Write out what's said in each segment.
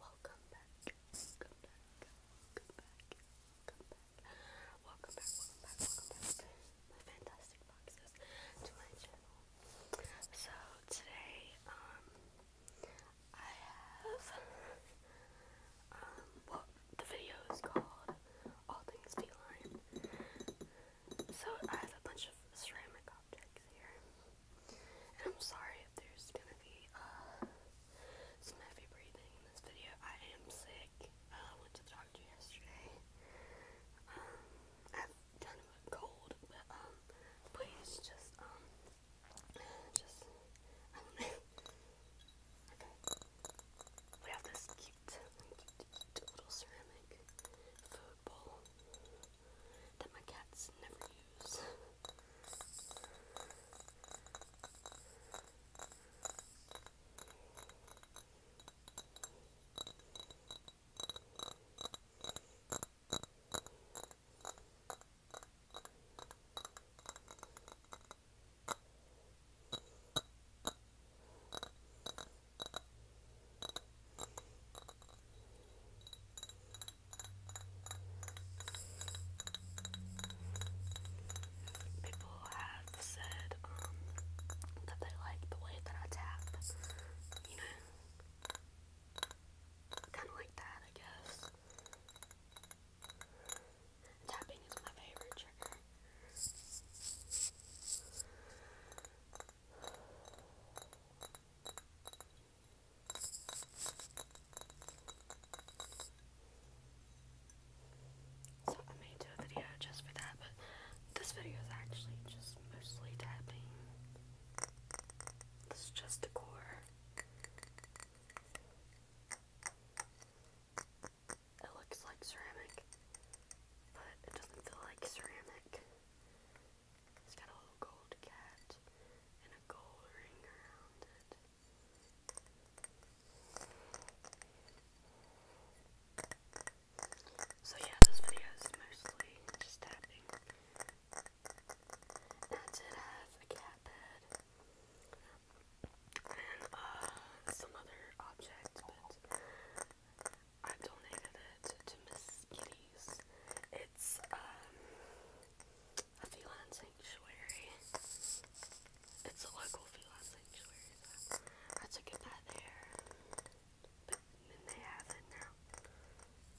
Welcome back. Welcome back. Welcome back. Welcome back. Welcome back. Welcome back. Welcome back. My fantastic boxes to my channel. So today, um, I have um well the video is called All Things Feline. So I have a bunch of ceramic objects here. I'm sorry if there's gonna be uh, some heavy breathing in this video. I am sick. I went to the doctor yesterday. Um, I've kind of a cold, but um, please just um, just I don't know. Okay, we have this cute, cute, little ceramic bowl that my cats never use. People have said um, that they like the way that I tap, you know, kind of like that, I guess. Tapping is my favorite trigger. So I may a video just for that, but this video is actually just mostly tapping. This is just decor. It looks like ceramic, but it doesn't feel like ceramic. It's got a little gold cat and a gold ring around it. So yeah, this video mostly just tapping. a cat bed and uh, some other objects, but i donated it to Miss It's um, a feline sanctuary. It's a local feline sanctuary. So I took it there, but then they have it now.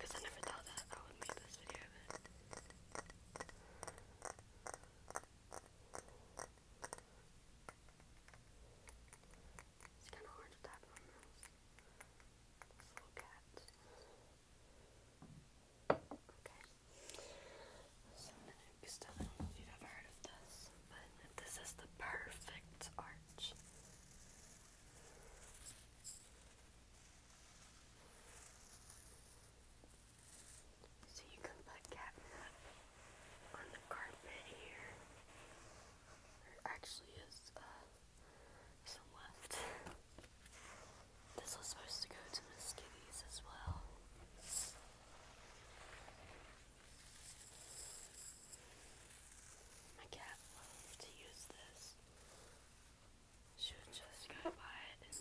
Cause I never thought that I would make this video of it. It's kind of hard to tap on this. Look at. Okay. So next, I don't know if you've ever heard of this, but this is the perfect arch. So you can put catnip on the carpet here. There actually is uh, some left. This was supposed to go to Miss Kitty's as well. My cat loves to use this. She would just go by it and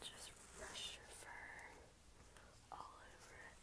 just brush her fur all over it.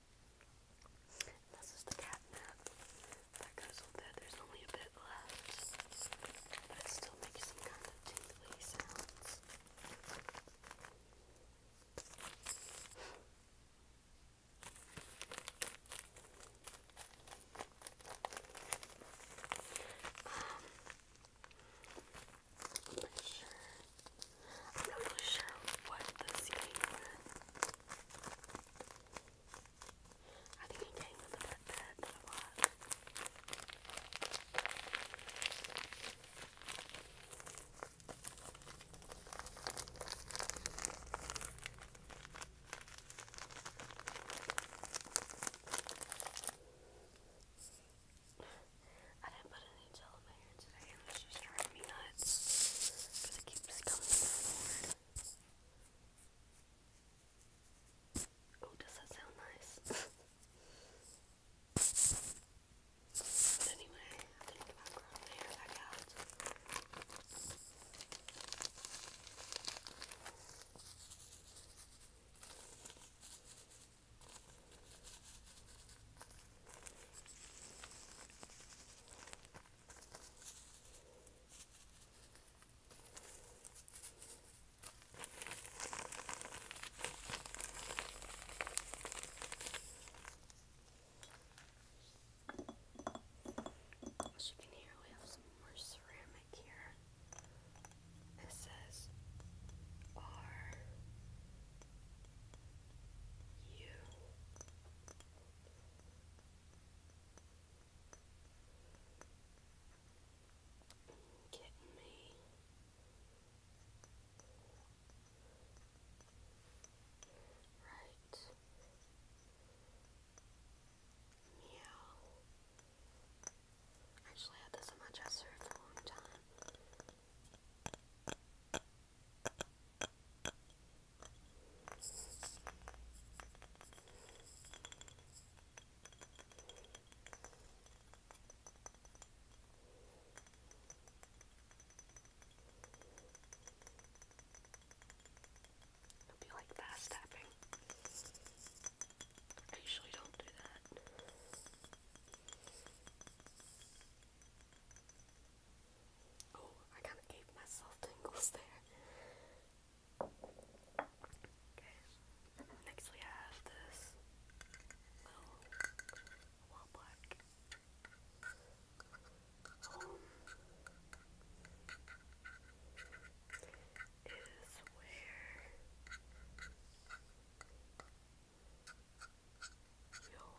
And this is the catnip that goes with it. There's only a bit left, but it still makes some kind of tingly sounds. Um, I'm not really sure what this came with. I think he came with a pet pet didn't put any gel in my hair today. It was just driving but because Oh, does that sound nice? but anyway, I think I'm growing hair back out. As you can hear, we have some more ceramic here. This says R U Get me right. Meow. Actually, had this on my dresser for a long time. It'll be like fast tapping. I usually don't do that. Oh, I kind of gave myself tingles there. Okay. Next we have this little black. Um, it is where your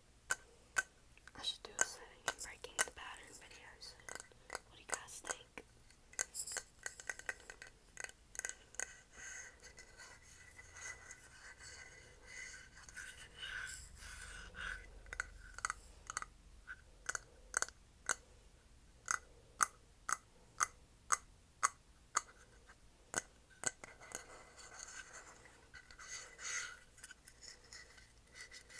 I should do a setting and breaking the pattern videos. What do you guys think? Okay. It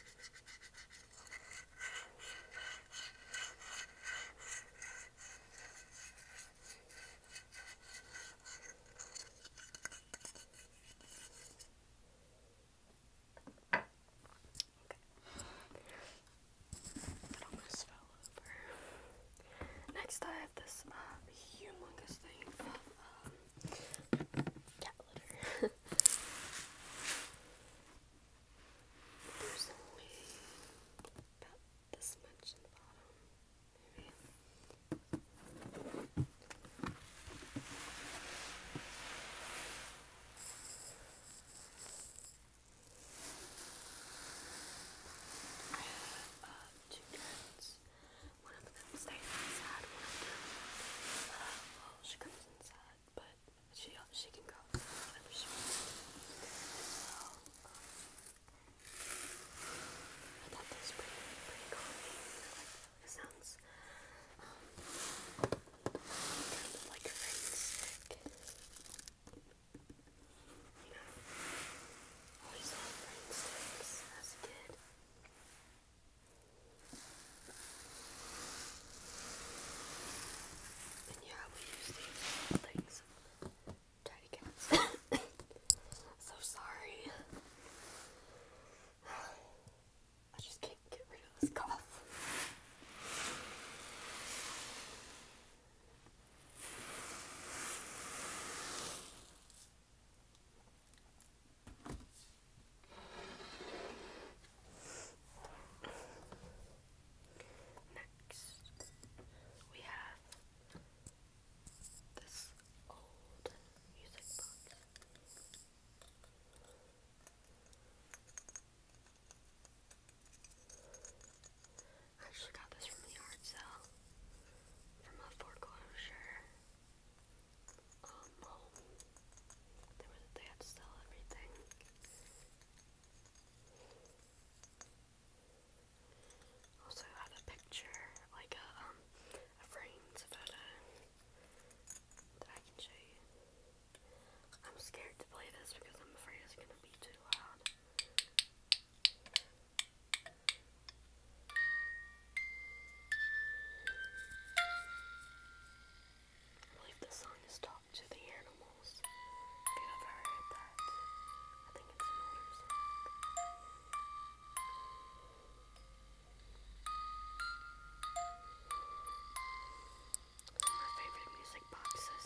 almost fell over. Next I have this uh, humongous thing from um, cat litter. There's only about this much in the bottom, maybe. I have uh, one of them stays inside, uh, well, she comes inside, but she she can go um, I thought that pretty, pretty calming. Like, sounds kind um, of like a rain stick. You always loved rain sticks as a kid yeah, we use these things. Tiny cats. so sorry. I just can't get rid of this cough. Next, we have this old music box. I actually got this from the yard sale from a foreclosure um, They, had to sell everything. Also had a picture, like a, um, a framed photo that I can show you. I'm scared to play this because I'm afraid it's gonna be too loud. I believe the song is talked to the animals. If you ever heard that, I think it's an older song. My favorite music boxes.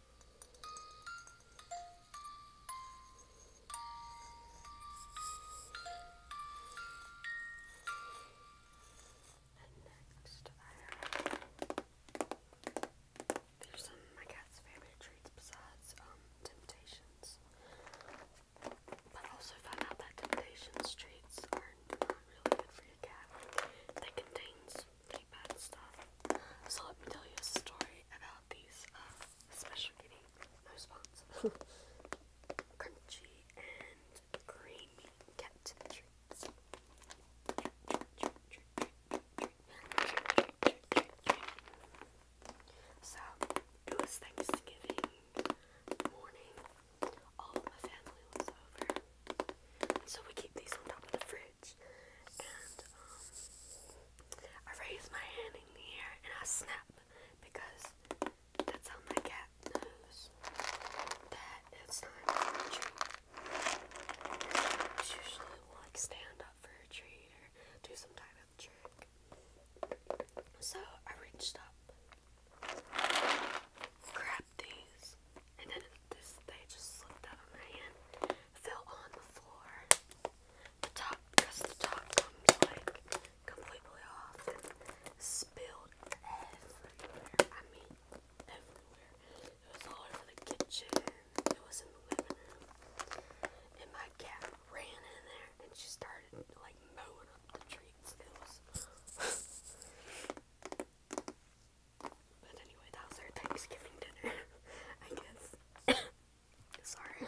And next, I have some of my cat's favorite treats besides um Temptations, but also found out that temptation treats are not really good for your cat. They contains bad stuff. So let me tell you a story about these uh, special kitty nose spots. Crunchy and creamy cat treats. So it was Thanksgiving morning. All of my family was over. So we keep these on top of the fridge. Um, I raise my hand in the air and I snap because that's how my cat knows that it's time for a usually will like stand up for a treat or do some type of trick. So I reached up, grabbed these, and then this they just slipped out of my hand, fell on the floor. The top, because the top comes like completely off, and spilled everywhere. I mean, everywhere. It was all over the kitchen. It was in the living room, and my cat ran in there and she started like mowing up the treats. It was. But anyway, that was our Thanksgiving dinner, I guess. Sorry.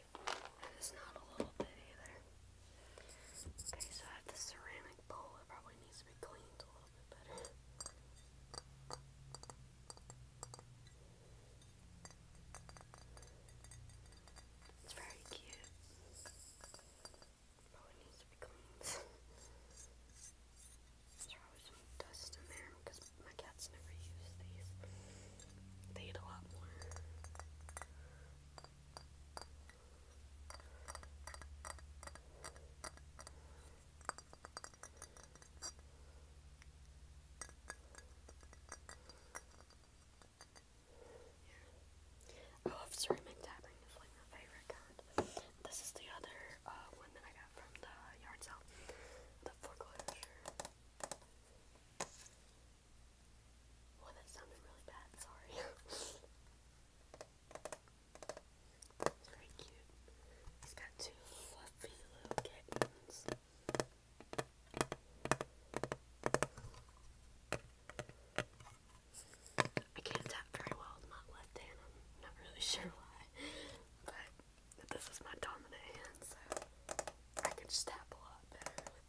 it's not a little bit either. Okay, so I have the ceramic bowl. It probably needs to be cleaned a little bit better. It's very cute. Probably needs to be cleaned. There's probably some dust in there because my cats never use these. They eat a lot more. Yeah. Oh, I love tapping, it's like my favorite kind. This is the other uh, one that I got from the yard sale, the foreclosure. Well, that sounded really bad, sorry. it's very cute. He's got two fluffy little kittens. I can't tap very well with my left hand, not really sure why. But this is my dominant hand, so I can just tap a lot better I'm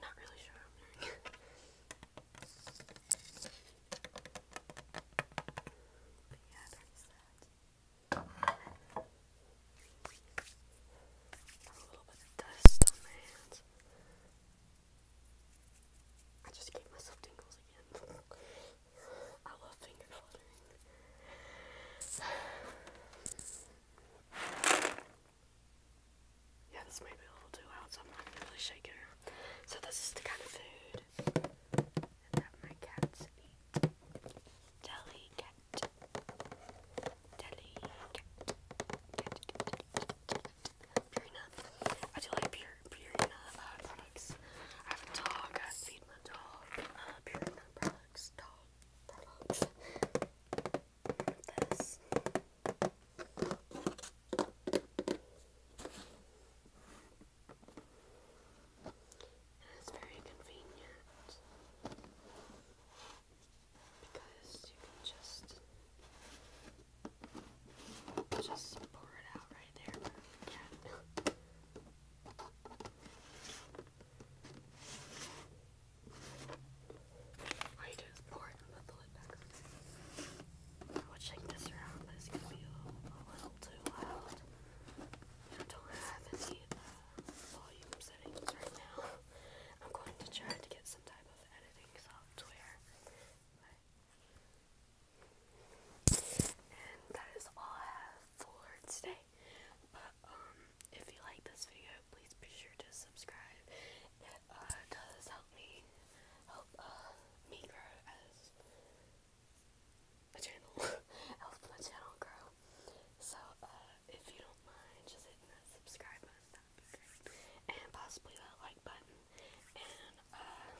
not really sure But yeah, a little bit of dust on my hands. I just gave myself tingles again. I love finger fluttering. Yeah, this might be a little too loud, so I'm not really shake it so this is the kind of food that my cats eat. Delicate. Delicate. Purina. I do like pure Purina uh, products. I have a dog. I feed my dog Purina uh, products. Dog and it's very convenient because you can just just pour it out right there. Yeah. All pour it pull I this around, but gonna be a, little too loud. I don't have any uh, volume settings right now. I'm going to try to get some type of editing software. And that is all I have for today. But um, if you like this video, please be sure to subscribe uh, does help me help uh, me grow as a channel. help my channel grow. So uh, if you don't mind, just hitting that subscribe button, and possibly that like button. And uh,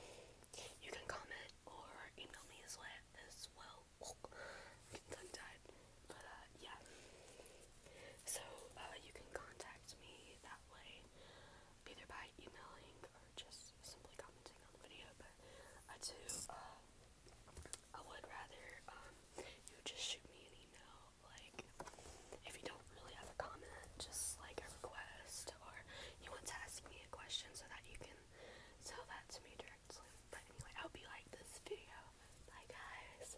you can comment or email me as well. As well. Oh, tongue tied. But uh, yeah. So uh, you can contact me that way either by emailing or just simply commenting on the video, but I do, uh, I would rather, um, you just shoot me an email, like, if you don't really have a comment, just, like, a request, or you want to ask me a question so that you can tell that to me directly, but anyway, I hope you like this video, bye guys!